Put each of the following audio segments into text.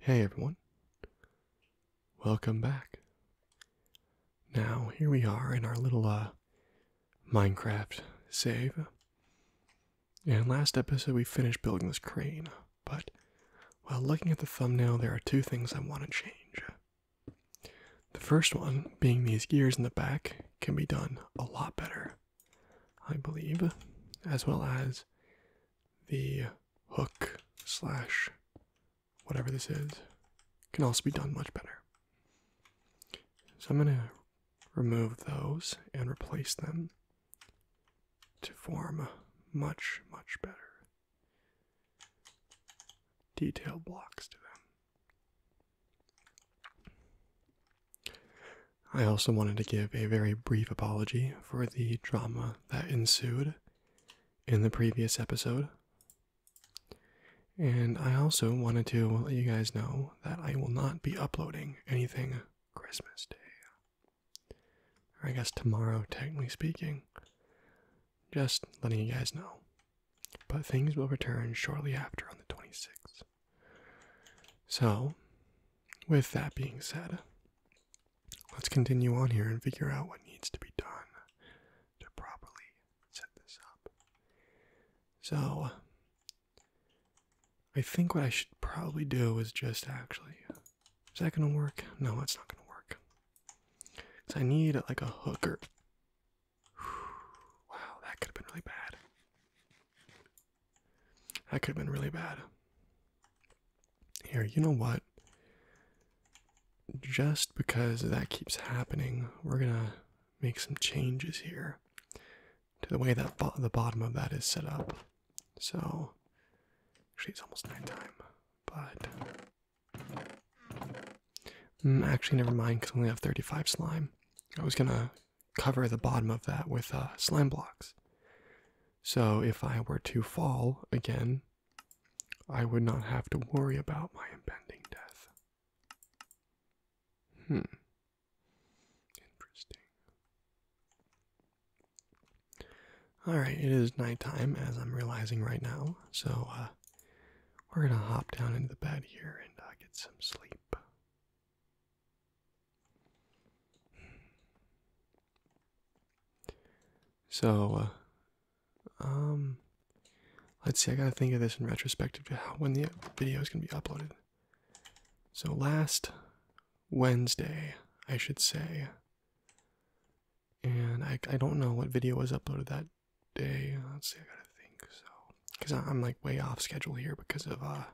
Hey everyone, welcome back. Now, here we are in our little uh, Minecraft save. And last episode we finished building this crane, but while looking at the thumbnail, there are two things I want to change. The first one, being these gears in the back, can be done a lot better, I believe, as well as the hook slash whatever this is can also be done much better. So I'm going to remove those and replace them to form much, much better detail blocks to them. I also wanted to give a very brief apology for the drama that ensued in the previous episode. And I also wanted to let you guys know that I will not be uploading anything Christmas Day. Or I guess tomorrow, technically speaking. Just letting you guys know. But things will return shortly after on the 26th. So, with that being said, let's continue on here and figure out what needs to be done to properly set this up. So, I think what I should probably do is just actually. Is that gonna work? No, that's not gonna work. Because I need like a hooker. Wow, that could have been really bad. That could have been really bad. Here, you know what? Just because that keeps happening, we're gonna make some changes here to the way that the bottom of that is set up. So, actually, it's almost nighttime, but Mm, actually, never mind because I only have 35 slime. I was gonna cover the bottom of that with uh, slime blocks. So if I were to fall again, I would not have to worry about my impending death. Hmm. Interesting. Alright, it is nighttime as I'm realizing right now, so uh, we're gonna hop down into the bed here and uh, get some sleep. So, uh, um, let's see. I gotta think of this in retrospective to when the video is gonna be uploaded. So last Wednesday, I should say, and I I don't know what video was uploaded that day. Let's see, I gotta think. So, because I'm like way off schedule here because of uh,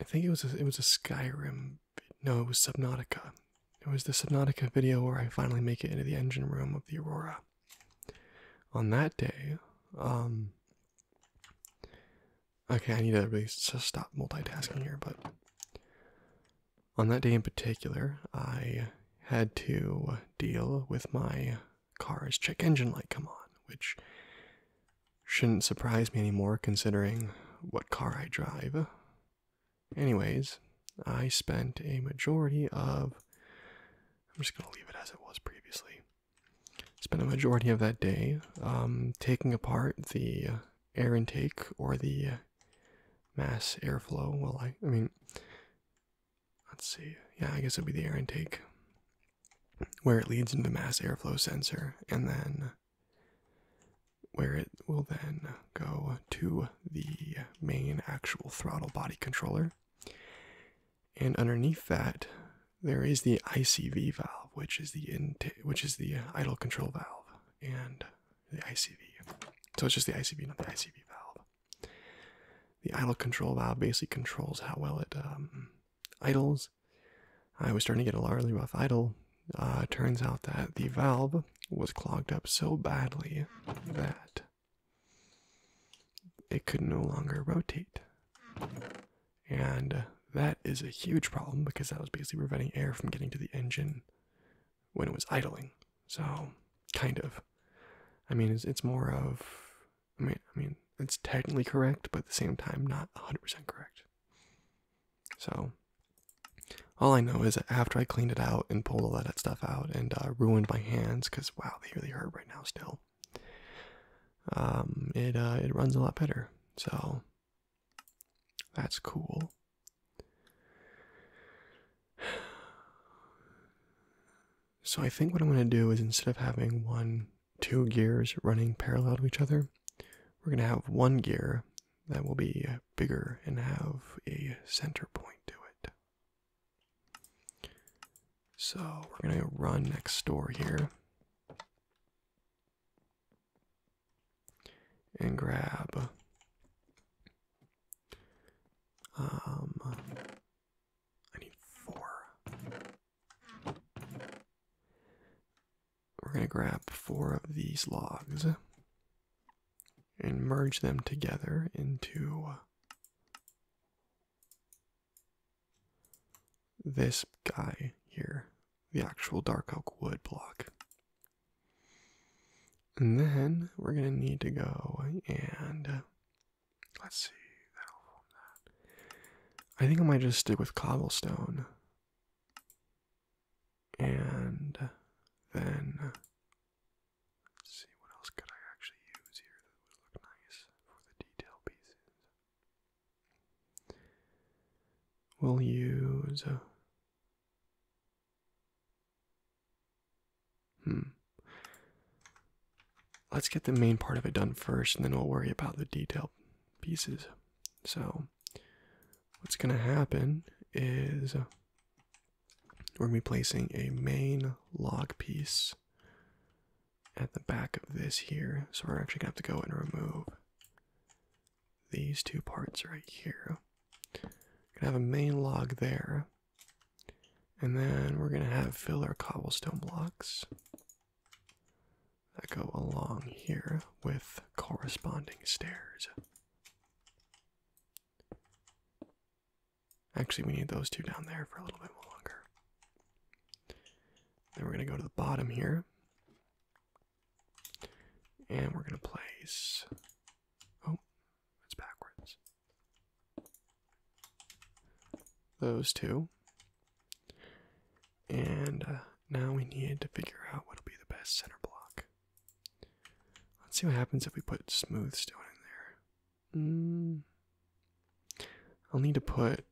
I think it was it was a Skyrim. No, it was Subnautica. It was the Subnautica video where I finally make it into the engine room of the Aurora. On that day, um. Okay, I need to really just stop multitasking here, but on that day in particular, I had to deal with my car's check engine light come on, which shouldn't surprise me anymore considering what car I drive. Anyways, I spent a majority of. I'm just going to leave it as it was previously. Spent a majority of that day um, taking apart the air intake or the mass airflow. Well, I, I mean, Let's see. Yeah, I guess it will be the air intake where it leads into the mass airflow sensor and then where it will then go to the main actual throttle body controller. And underneath that there is the ICV valve, which is the intake, which is the idle control valve and the ICV. So it's just the ICV, not the ICV valve. The idle control valve basically controls how well it um, idles. I was starting to get a alarmingly rough idle. Uh, turns out that the valve was clogged up so badly that it could no longer rotate. And that is a huge problem because that was basically preventing air from getting to the engine when it was idling. So, kind of. I mean, it's, more of. I mean, I mean, it's technically correct, but at the same time, not 100% correct. So, all I know is that after I cleaned it out and pulled all that stuff out and uh, ruined my hands, because wow, they really hurt right now still. Um, it uh, it runs a lot better, so that's cool. So I think what I'm going to do is instead of having one, two gears running parallel to each other, we're going to have one gear that will be bigger and have a center point to it. So we're going to run next door here and grab um, I need four. We're going to grab four of these logs and merge them together into this guy here, the actual dark oak wood block. And then we're going to need to go and Let's see. I think I might just stick with cobblestone. And then see what else could I actually use here that would look nice for the detail pieces. We'll use Hmm. Let's get the main part of it done first, and then we'll worry about the detail pieces. So, what's going to happen is we're going to be placing a main log piece at the back of this here. So, we're actually going to have to go and remove these two parts right here. We're going to have a main log there. And then we're going to have fill our cobblestone blocks that go along here with corresponding stairs. Actually, we need those two down there for a little bit longer. Then we're going to go to the bottom here. And we're going to place Oh, it's backwards. Those two. And uh, now we need to figure out what'll be the best center block. Let's see what happens if we put smooth stone in there. Mm. I'll need to put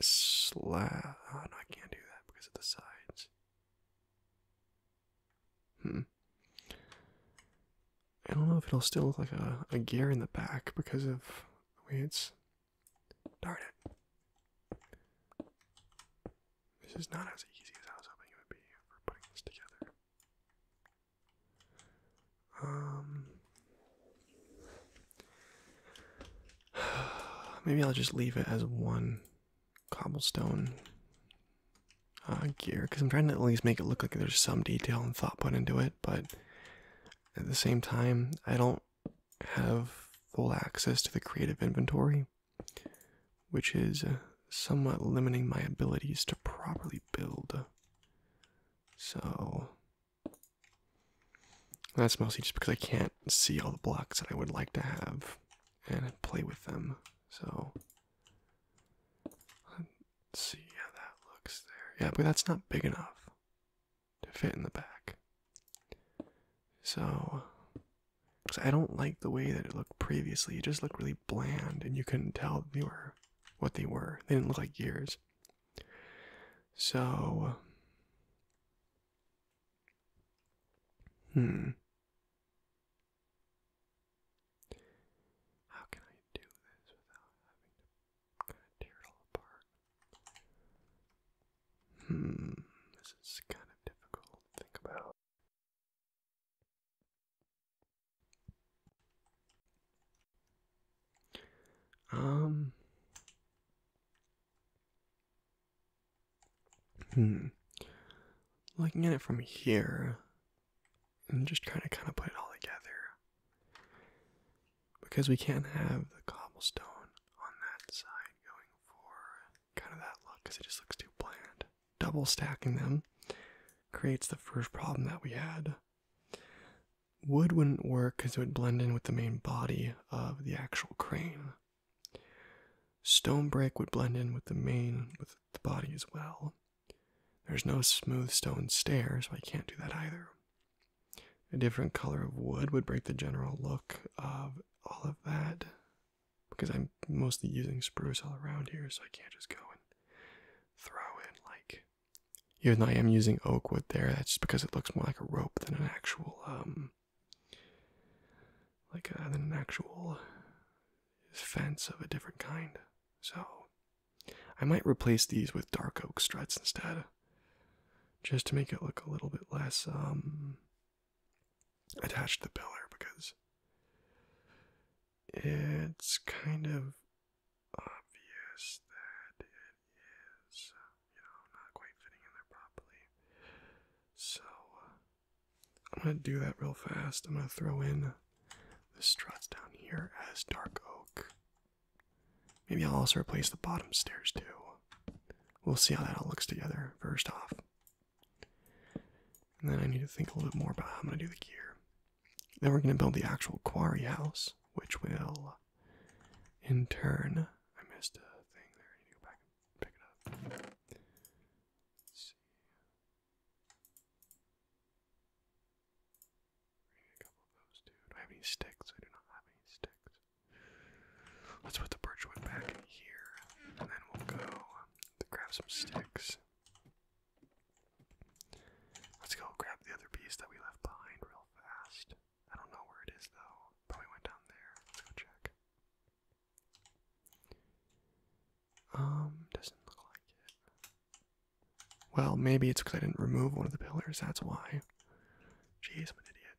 slab. Oh no, I can't do that because of the sides. Hmm. I don't know if it'll still look like a, gear in the back because of the way it's. Darn it. This is not as easy as I was hoping it would be for putting this together. Um. Maybe I'll just leave it as one cobblestone uh, gear because I'm trying to at least make it look like there's some detail and thought put into it, but at the same time, I don't have full access to the creative inventory, which is uh, somewhat limiting my abilities to properly build. So that's mostly just because I can't see all the blocks that I would like to have and play with them. So see how that looks there. Yeah, but that's not big enough to fit in the back. So, I don't like the way that it looked previously. It just looked really bland, and you couldn't tell they were what they were. They didn't look like gears. So, hmm. How can I do this without having to kind of tear it all apart? Hmm, this is kind of difficult to think about. Um. Hmm. Looking at it from here, I'm just trying to kind of put it all together because we can't have the cobblestone on that side going for kind of that look because it just looks too bland. Double stacking them creates the first problem that we had. Wood wouldn't work because it would blend in with the main body of the actual crane. Stone brick would blend in with the main with the body as well. There's no smooth stone stairs, so I can't do that either. A different color of wood would break the general look of all of that because I'm mostly using spruce all around here, so I can't just go and throw in like. Even though I am using oak wood there, that's just because it looks more like a rope than an actual, um, like than an actual fence of a different kind. So, I might replace these with dark oak struts instead, just to make it look a little bit less um, attached to the pillar because it's kind of obvious that it is, you know, not quite fitting in there properly. So, I'm gonna do that real fast. I'm gonna throw in the struts down here as dark oak. Maybe I'll also replace the bottom stairs too. We'll see how that all looks together first off. And then I need to think a little bit more about how I'm going to do the gear. Then we're going to build the actual quarry house, which will, in turn, I missed a thing there. I need to go back and pick it up. see we a couple of those too. I have any sticks? I do not have any sticks. Let's put the birchwood back in here, and then we'll go um, to grab some sticks. Let's go grab the other piece that we left behind real fast. I don't know where it is though. Probably went down there. Let's go check. Um, doesn't look like it. Well, maybe it's because I didn't remove one of the pillars, that's why. Jeez, I'm an idiot.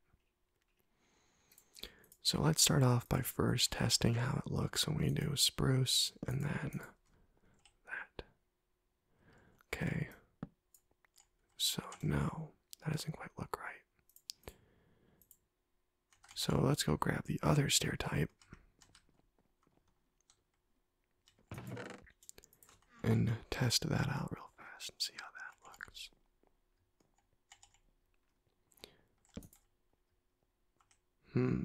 So let's start off by first testing how it looks when we do spruce and then that. Okay. So, no, that doesn't quite look right. So let's go grab the other stair type and test that out real fast and see how that looks. Hmm.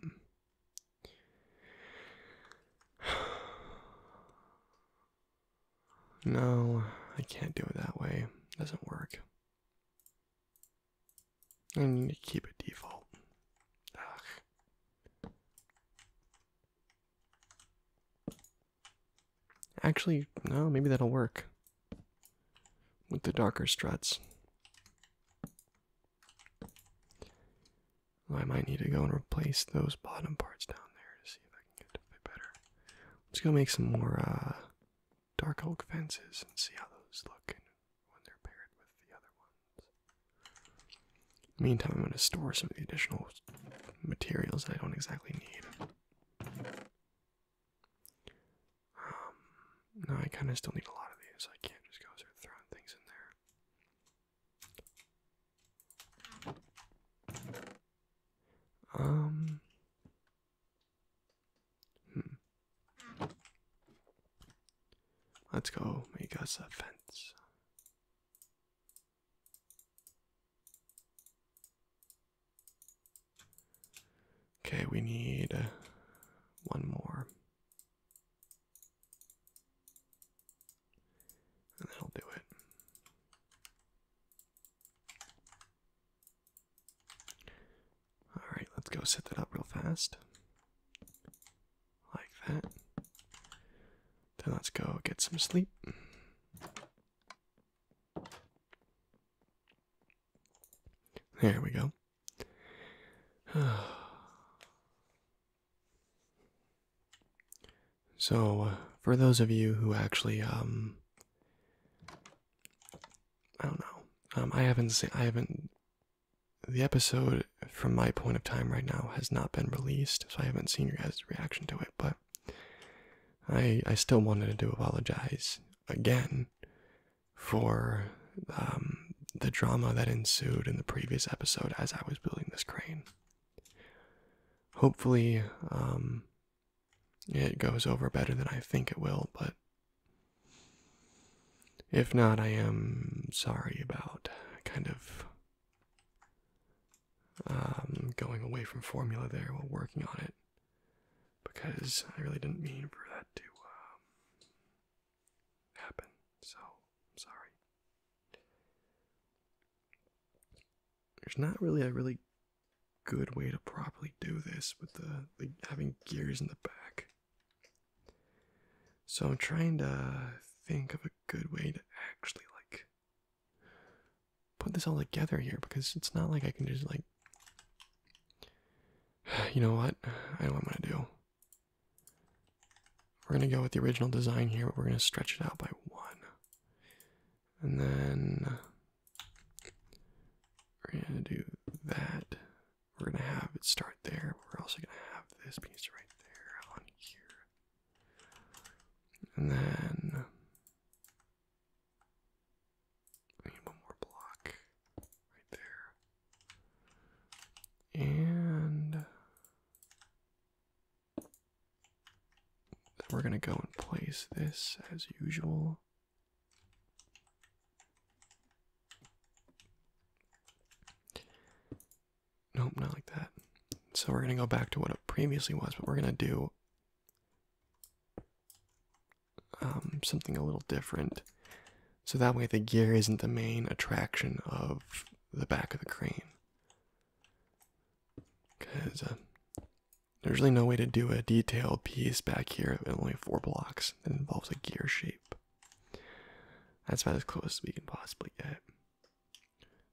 No, I can't do it that way. It doesn't work. I need to keep it default. Actually, no, maybe that'll work with the darker struts. I might need to go and replace those bottom parts down there to see if I can get it a bit better. Let's go make some more uh, dark oak fences and see how those look Meantime, I'm going to store some of the additional materials I don't exactly need. Um, no, I kind of still need a lot of these. I can't just go start throwing things in there. Um, hmm. Let's go make us a fence. Okay, we need uh, one more. And that'll do it. All right, let's go set that up real fast. Like that. Then let's go get some sleep. There we go. So, uh, for those of you who actually, um, I don't know, um, I haven't, seen, I haven't the episode from my point of time right now has not been released, so I haven't seen your guys' reaction to it, but I I still wanted to apologize again for um, the drama that ensued in the previous episode as I was building this crane. Hopefully, um, it goes over better than I think it will, but if not, I am sorry about kind of um, going away from formula there while working on it because I really didn't mean for that to um, happen. So, I'm sorry. There's not really a really good way to properly do this with the having gears in the back. So I'm trying to think of a good way to actually like put this all together here because it's not like I can just like you know what? I know what I'm gonna do. We're gonna go with the original design here, but we're gonna stretch it out by one. And then we're gonna do that we're gonna have it start there. We're also gonna have this piece right there on here. And then I need one more block right there. And then we're gonna go and place this as usual. Nope, not like that. So we're going to go back to what it previously was, but we're going to do um, something a little different. So that way the gear isn't the main attraction of the back of the crane. Because uh, there's really no way to do a detailed piece back here in only four blocks that involves a gear shape. That's about as close as we can possibly get.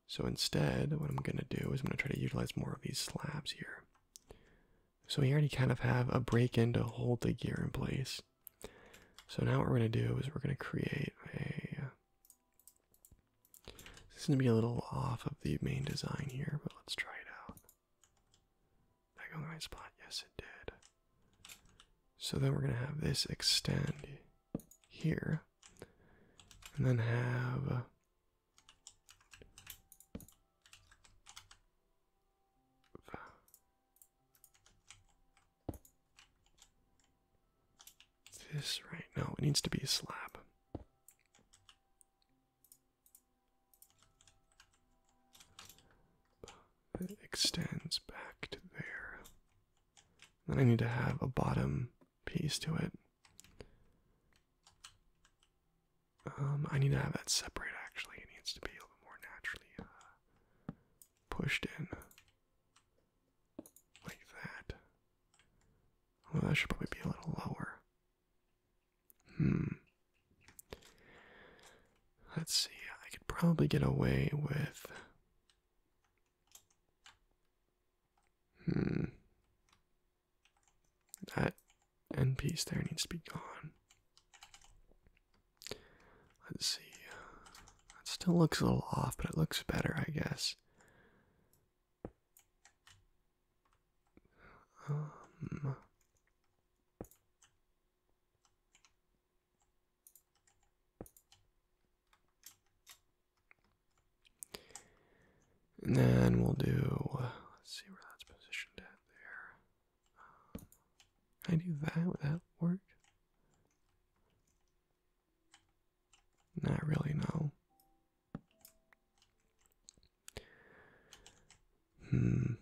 So instead, what I'm going to do is I'm going to try to utilize more of these slabs here. So we already kind of have a break in to hold the gear in place. So now what we're going to do is we're going to create a. This is going to be a little off of the main design here, but let's try it out. That go the right spot. Yes, it did. So then we're going to have this extend here. And then have. Uh, this right now, it needs to be a slab that extends back to there. Then I need to have a bottom piece to it. Um, I need to have that separate actually. It needs to be a little more naturally uh, pushed in. Like that. Well, that should probably be a little lower. Hmm. Let's see, I could probably get away with. Hmm. That end piece there needs to be gone. Let's see. It still looks a little off, but it looks better, I guess. Um. And then we'll do, let's see where that's positioned at there. can I do that? Would that work? Not really, no. Hmm.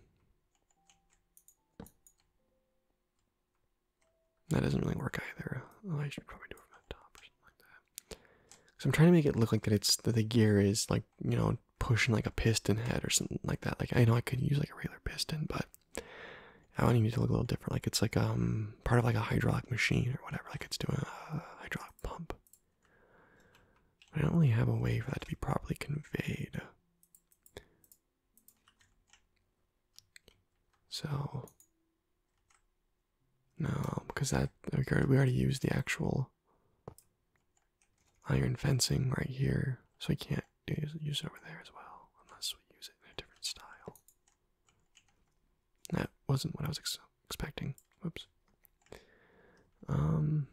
That doesn't really work either. Oh, I should probably do it from the top or like that. Because I'm trying to make it look like that it's that the gear is like you know pushing like a piston head or something like that. Like I know I could use like a regular piston, but I want it to look a little different. Like it's like um part of like a hydraulic machine or whatever. Like it's doing a hydraulic pump. I don't really have a way for that to be properly conveyed. So no, because that we already, used the actual iron fencing right here, so we can't use, it over there as well, unless we use it in a different style. That wasn't what I was expecting. Whoops. Um.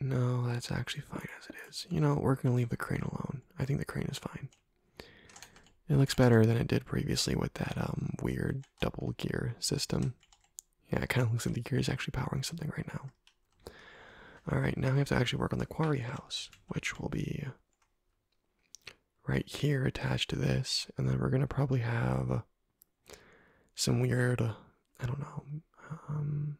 No, that's actually fine as it is. You know, we're going to leave the crane alone. I think the crane is fine. It looks better than it did previously with that um, weird double gear system. Yeah, it kind of looks like the gear is actually powering something right now. Alright, now we have to actually work on the quarry house, which will be right here attached to this, and then we're gonna probably have some weird, I don't know, um,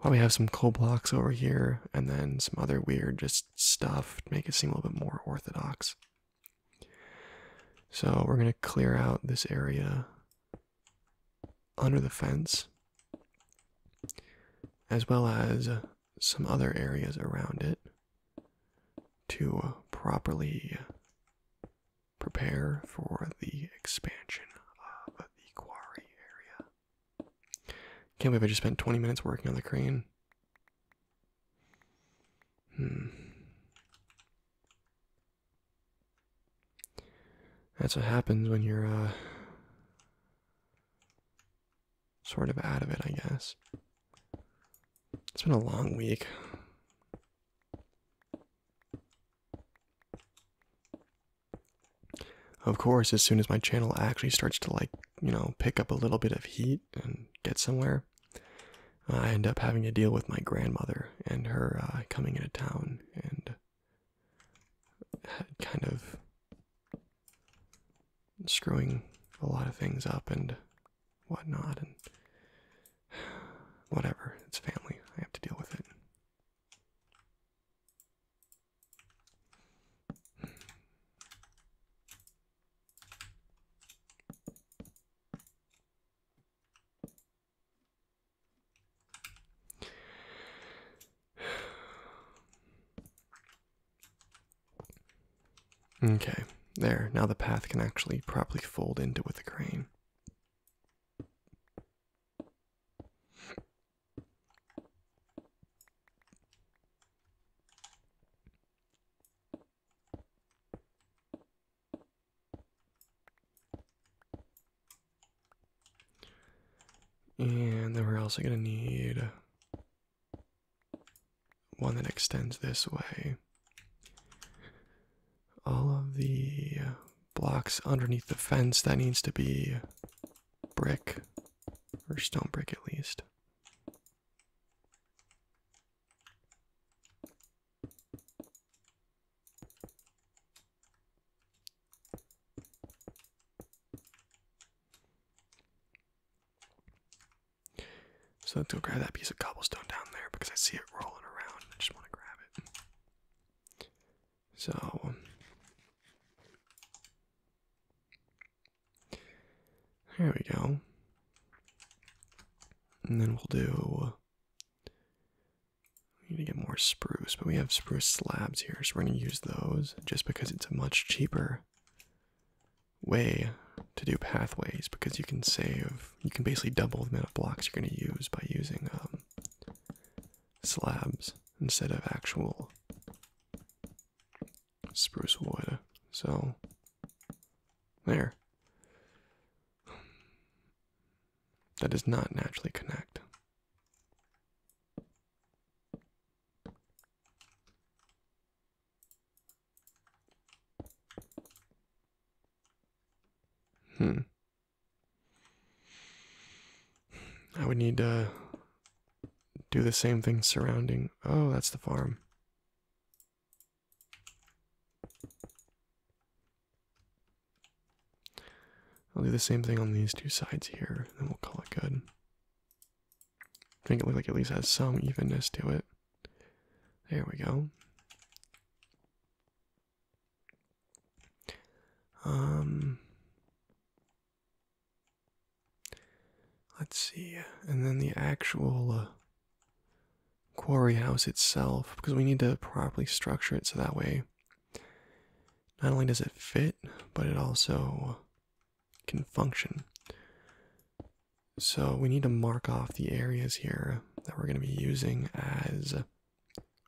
probably have some coal blocks over here, and then some other weird just stuff to make it seem a little bit more orthodox. So we're gonna clear out this area under the fence, as well as some other areas around it to uh, properly prepare for the expansion of the quarry area. Can't believe I just spent 20 minutes working on the crane. Hmm. That's what happens when you're uh, sort of out of it, I guess. It's been a long week. Of course, as soon as my channel actually starts to, like, you know, pick up a little bit of heat and get somewhere, I end up having to deal with my grandmother and her uh, coming into town and uh, kind of screwing a lot of things up and whatnot, and whatever. It's family. I have to deal with it. Okay, there. Now the path can actually properly fold into with the crane. And then we're also going to need one that extends this way. All of the blocks underneath the fence that needs to be brick or stone brick at least. So let's go grab that piece of cobblestone down there because I see it rolling around I just want to grab it. So there we go. And then we'll do we need to get more spruce, but we have spruce slabs here, so we're gonna use those just because it's a much cheaper way to do pathways because you can save, you can basically double the amount of blocks you're going to use by using um, slabs instead of actual spruce wood. So, there. That does not naturally connect. Hmm. I would need to do the same thing surrounding. Oh, that's the farm. I'll do the same thing on these two sides here, and we'll call it good. I think it looks like at least has some evenness to it. There we go. Um let's see and then the actual uh, quarry house itself because we need to properly structure it so that way not only does it fit but it also can function. So we need to mark off the areas here that we're going to be using as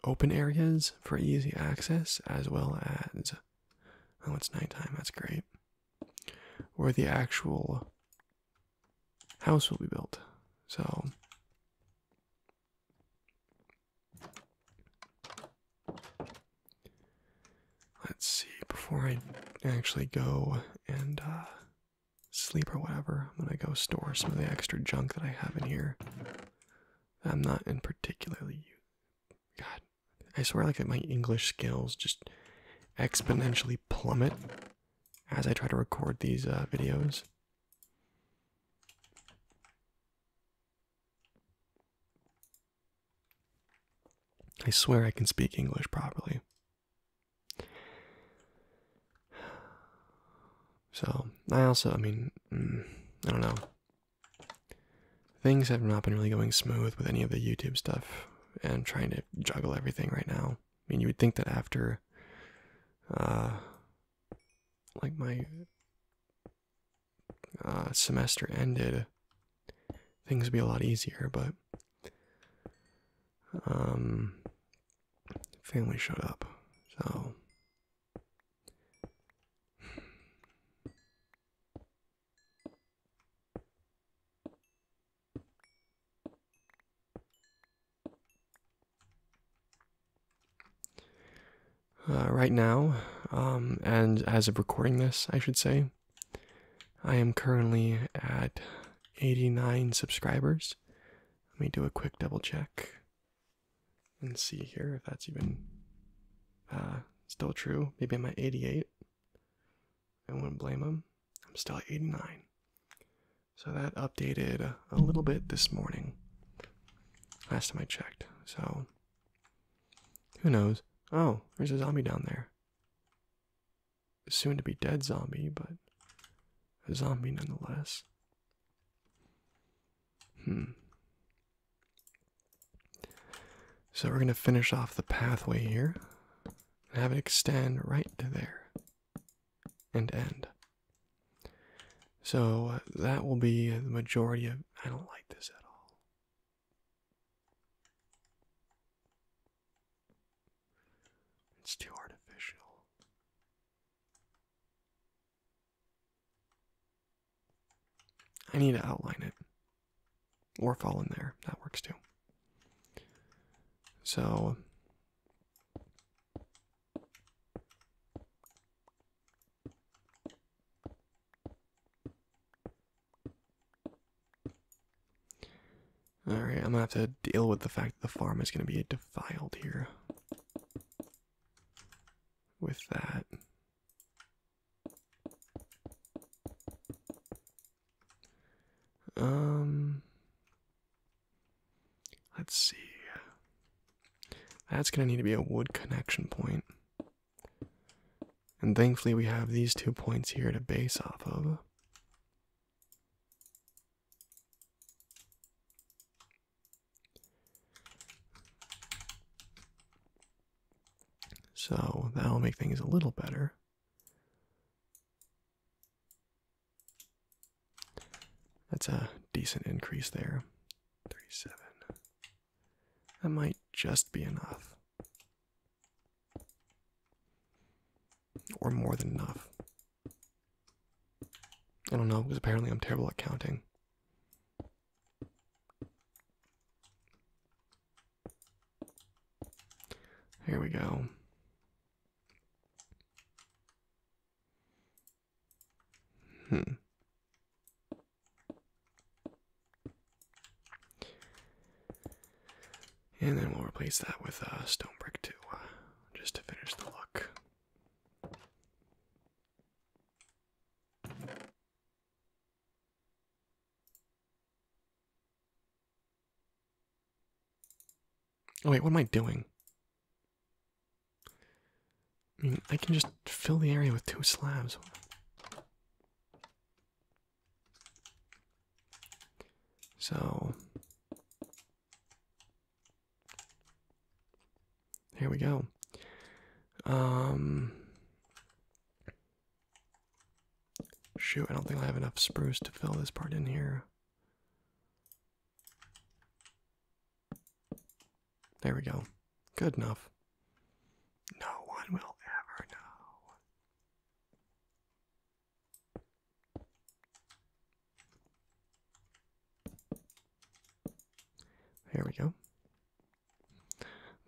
open areas for easy access, as well as oh, it's nighttime. That's great. Where the actual house will be built. So. Let's see, before I actually go and uh, sleep or whatever, I'm gonna go store some of the extra junk that I have in here. I'm not in particularly. God, I swear, like my English skills just exponentially plummet as I try to record these uh, videos. I swear I can speak English properly. So, I also, I mean, mm, I don't know. Things have not been really going smooth with any of the YouTube stuff and trying to juggle everything right now. I mean, you would think that after, uh, like my uh, semester ended, things would be a lot easier, but um, family showed up, so uh, right now, um, and as of recording this, I should say, I am currently at 89 subscribers. Let me do a quick double check and see here if that's even uh, still true. Maybe I'm at 88. I wouldn't blame them. I'm still at 89. So that updated a little bit this morning. Last time I checked. So who knows? Oh, there's a zombie down there soon to be dead zombie, but a zombie nonetheless. Hmm. So we're going to finish off the pathway here and have it extend right to there and end. So uh, that will be the majority of. I don't like this at all. It's too artificial. I need to outline it or fall in there. That works too. So Alright, I'm gonna have to deal with the fact that the farm is gonna be defiled here. With that. Um. Let's see. That's gonna need to be a wood connection point. And thankfully, we have these two points here to base off of. So that will make things a little better. That's a decent increase there. 37. That might just be enough. Or more than enough. I don't know, because apparently I'm terrible at counting. Here we go. Hmm. And then we'll replace that with a uh, stone brick too, uh, just to finish the look. Oh wait, what am I doing? I mean, I can just fill the area with two slabs. So here we go. Um shoot, I don't think I have enough spruce to fill this part in here. There we go. Good enough. No one will ever know. There we go.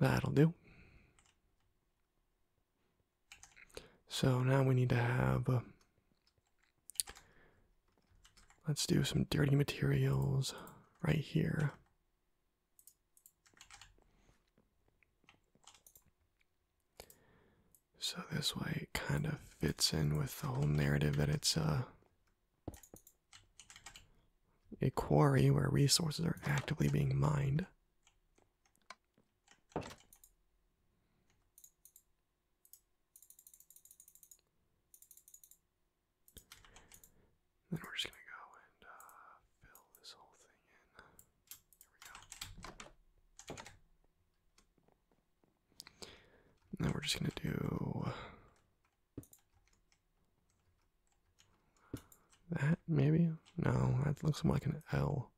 That'll do. So now we need to have. Uh, let's do some dirty materials right here. So this way it kind of fits in with the whole narrative that it's a quarry where resources are actively being mined. Then we're just gonna go and uh, fill this whole thing in. There we go. And then we're just gonna do that, maybe? No, that looks more like an L.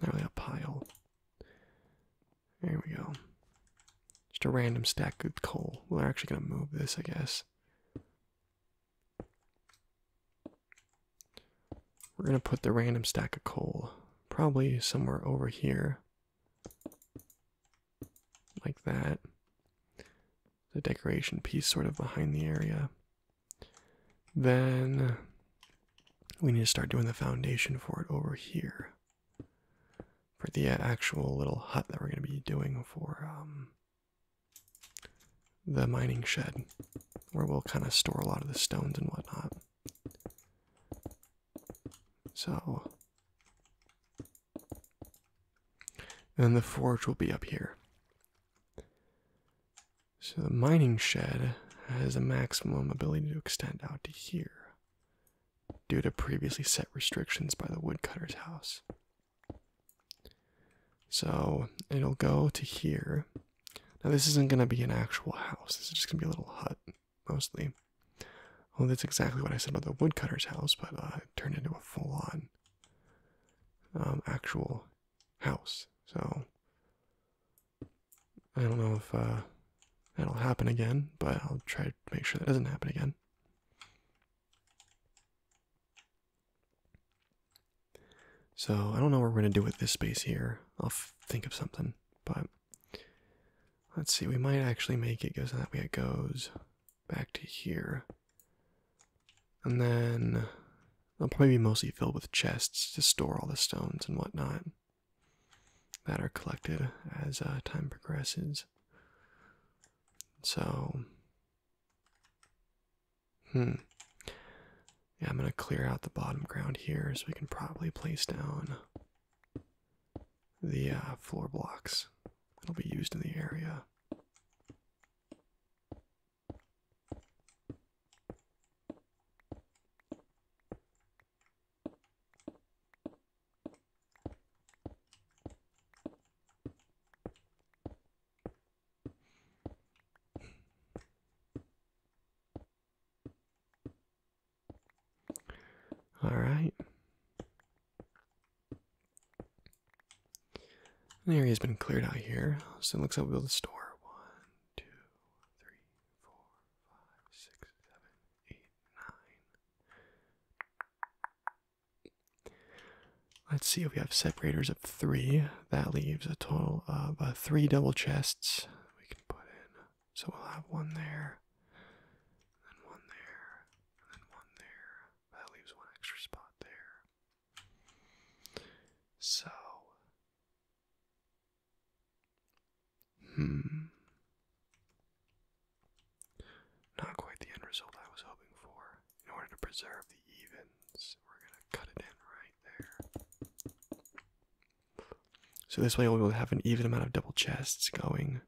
There we a pile. There we go. Just a random stack of coal. We're actually gonna move this, I guess. We're going to put the random stack of coal probably somewhere over here, like that. The decoration piece sort of behind the area. Then we need to start doing the foundation for it over here. For the actual little hut that we're going to be doing for um, the mining shed where we'll kind of store a lot of the stones and whatnot. So, and the forge will be up here. So, the mining shed has a maximum ability to extend out to here due to previously set restrictions by the woodcutter's house. So it'll go to here. Now, this isn't going to be an actual house, this is just going to be a little hut mostly. Well, that's exactly what I said about the woodcutter's house, but uh, it turned into a full on um, actual house. So I don't know if uh, that'll happen again, but I'll try to make sure that doesn't happen again. So I don't know what we're gonna do with this space here. I'll think of something, but let's see. We might actually make it go so that way it goes back to here, and then i will probably be mostly filled with chests to store all the stones and whatnot that are collected as uh, time progresses. So Hmm. Yeah, I'm gonna clear out the bottom ground here so we can probably place down the uh, floor blocks. It'll be used in the area. All right. The area's been cleared out here, so it looks like we'll build a store. One, two, three, four, five, six, seven, eight, nine. Let's see if we have separators of three. That leaves a total of uh, three double chests we can put in. So we'll have one there, and one there, then one there. That leaves one extra spot there. So. Hmm. Not quite the end result I was hoping for. In order to preserve the evens, we're going to cut it in right there. So this way we'll have an even amount of double chests going.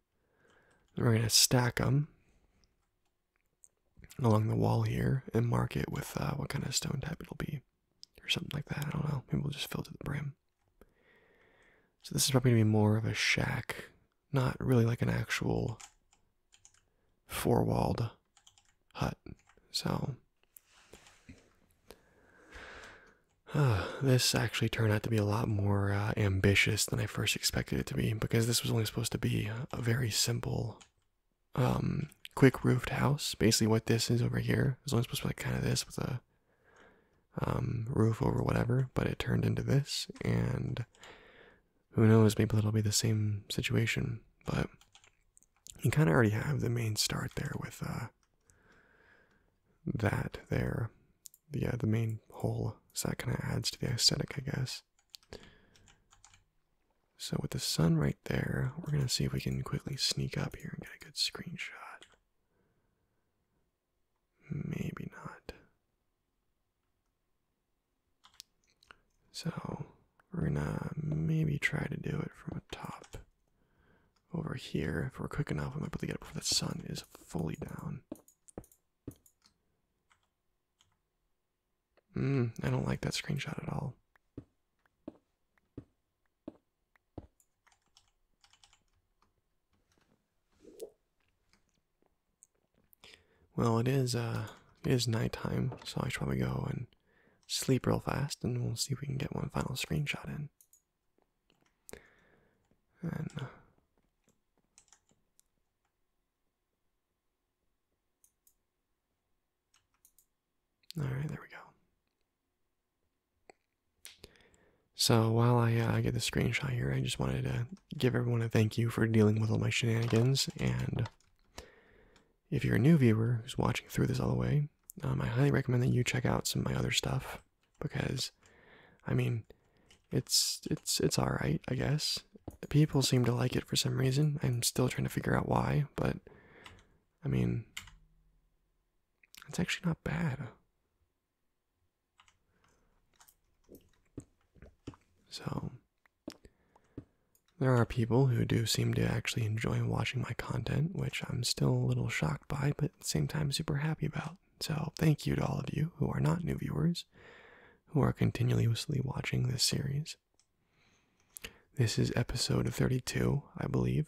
we're going to stack them along the wall here and mark it with uh, what kind of stone type it'll be or something like that. I don't know. Maybe we'll just fill to the brim. So this is probably going to be more of a shack not really like an actual four walled hut. So, ah, this actually turned out to be a lot more uh, ambitious than I first expected it to be because this was only supposed to be a very simple, um, quick roofed house. Basically, what this is over here was only supposed to be like kind of this with a um, roof over whatever, but it turned into this, and who knows, maybe that'll be the same situation, but you kind of already have the main start there with uh, that there. Yeah, the main hole, so that kind of adds to the aesthetic, I guess. So with the sun right there, we're going to see if we can quickly sneak up here and get a good screenshot. Maybe not. So we're gonna maybe try to do it from the top over here. If we're quick enough, we might be able to get it before the sun is fully down. Mm, I don't like that screenshot at all. Well, it is uh it is nighttime, so I should probably go and sleep real fast, and we'll see if we can get one final screenshot in. And uh, all right, there we go. So while I uh, get the screenshot here, I just wanted to give everyone a thank you for dealing with all my shenanigans. And if you're a new viewer who's watching through this all the way, um, I highly recommend that you check out some of my other stuff because, I mean, it's it's it's all right, I guess. People seem to like it for some reason. I'm still trying to figure out why, but I mean, it's actually not bad. So, there are people who do seem to actually enjoy watching my content, which I'm still a little shocked by, but at the same time super happy about. So, thank you to all of you who are not new viewers, who are continuously watching this series. This is episode 32, I believe.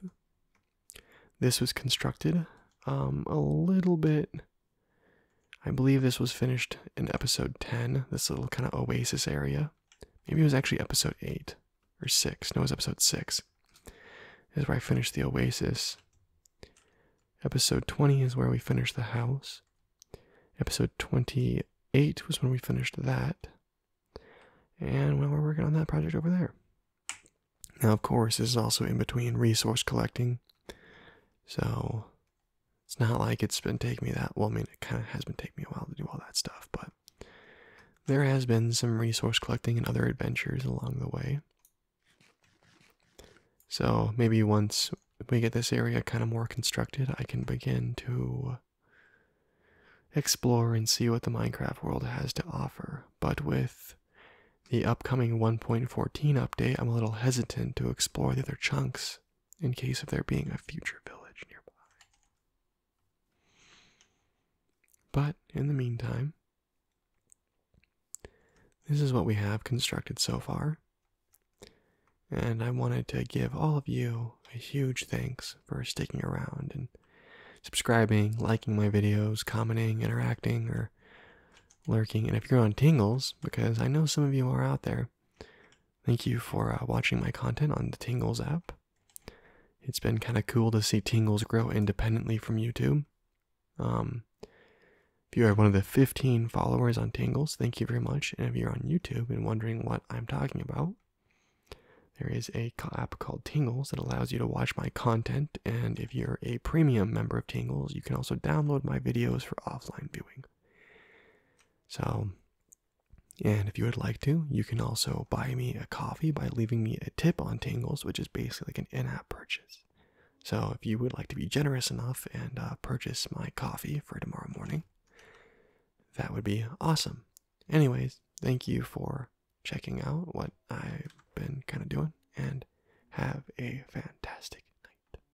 This was constructed um, a little bit I believe this was finished in episode 10, this little kind of oasis area. Maybe it was actually episode 8 or 6. No, it was episode 6. This is where I finished the oasis. Episode 20 is where we finished the house. Episode 28 was when we finished that. And well, we're working on that project over there. Now, of course, this is also in between resource collecting. So it's not like it's been taking me that well, I mean, it kind of has been taking me a while to do all that stuff, but there has been some resource collecting and other adventures along the way. So maybe once we get this area kind of more constructed, I can begin to explore and see what the Minecraft world has to offer. But with the upcoming 1.14 update, I'm a little hesitant to explore the other chunks in case of there being a future village nearby. But in the meantime, this is what we have constructed so far. And I wanted to give all of you a huge thanks for sticking around and subscribing, liking my videos, commenting, interacting, or lurking. And if you're on Tingles, because I know some of you are out there, Thank you for uh, watching my content on the Tingles app. It's been kind of cool to see Tingles grow independently from YouTube. Um, if you are one of the 15 followers on Tingles, thank you very much. And if you're on YouTube and wondering what I'm talking about, there is a app called Tingles that allows you to watch my content. And if you're a premium member of Tingles, you can also download my videos for offline viewing. So, and if you would like to, you can also buy me a coffee by leaving me a tip on Tangles, which is basically like an in app purchase. So, if you would like to be generous enough and uh, purchase my coffee for tomorrow morning, that would be awesome. Anyways, thank you for checking out what I've been kind of doing, and have a fantastic night.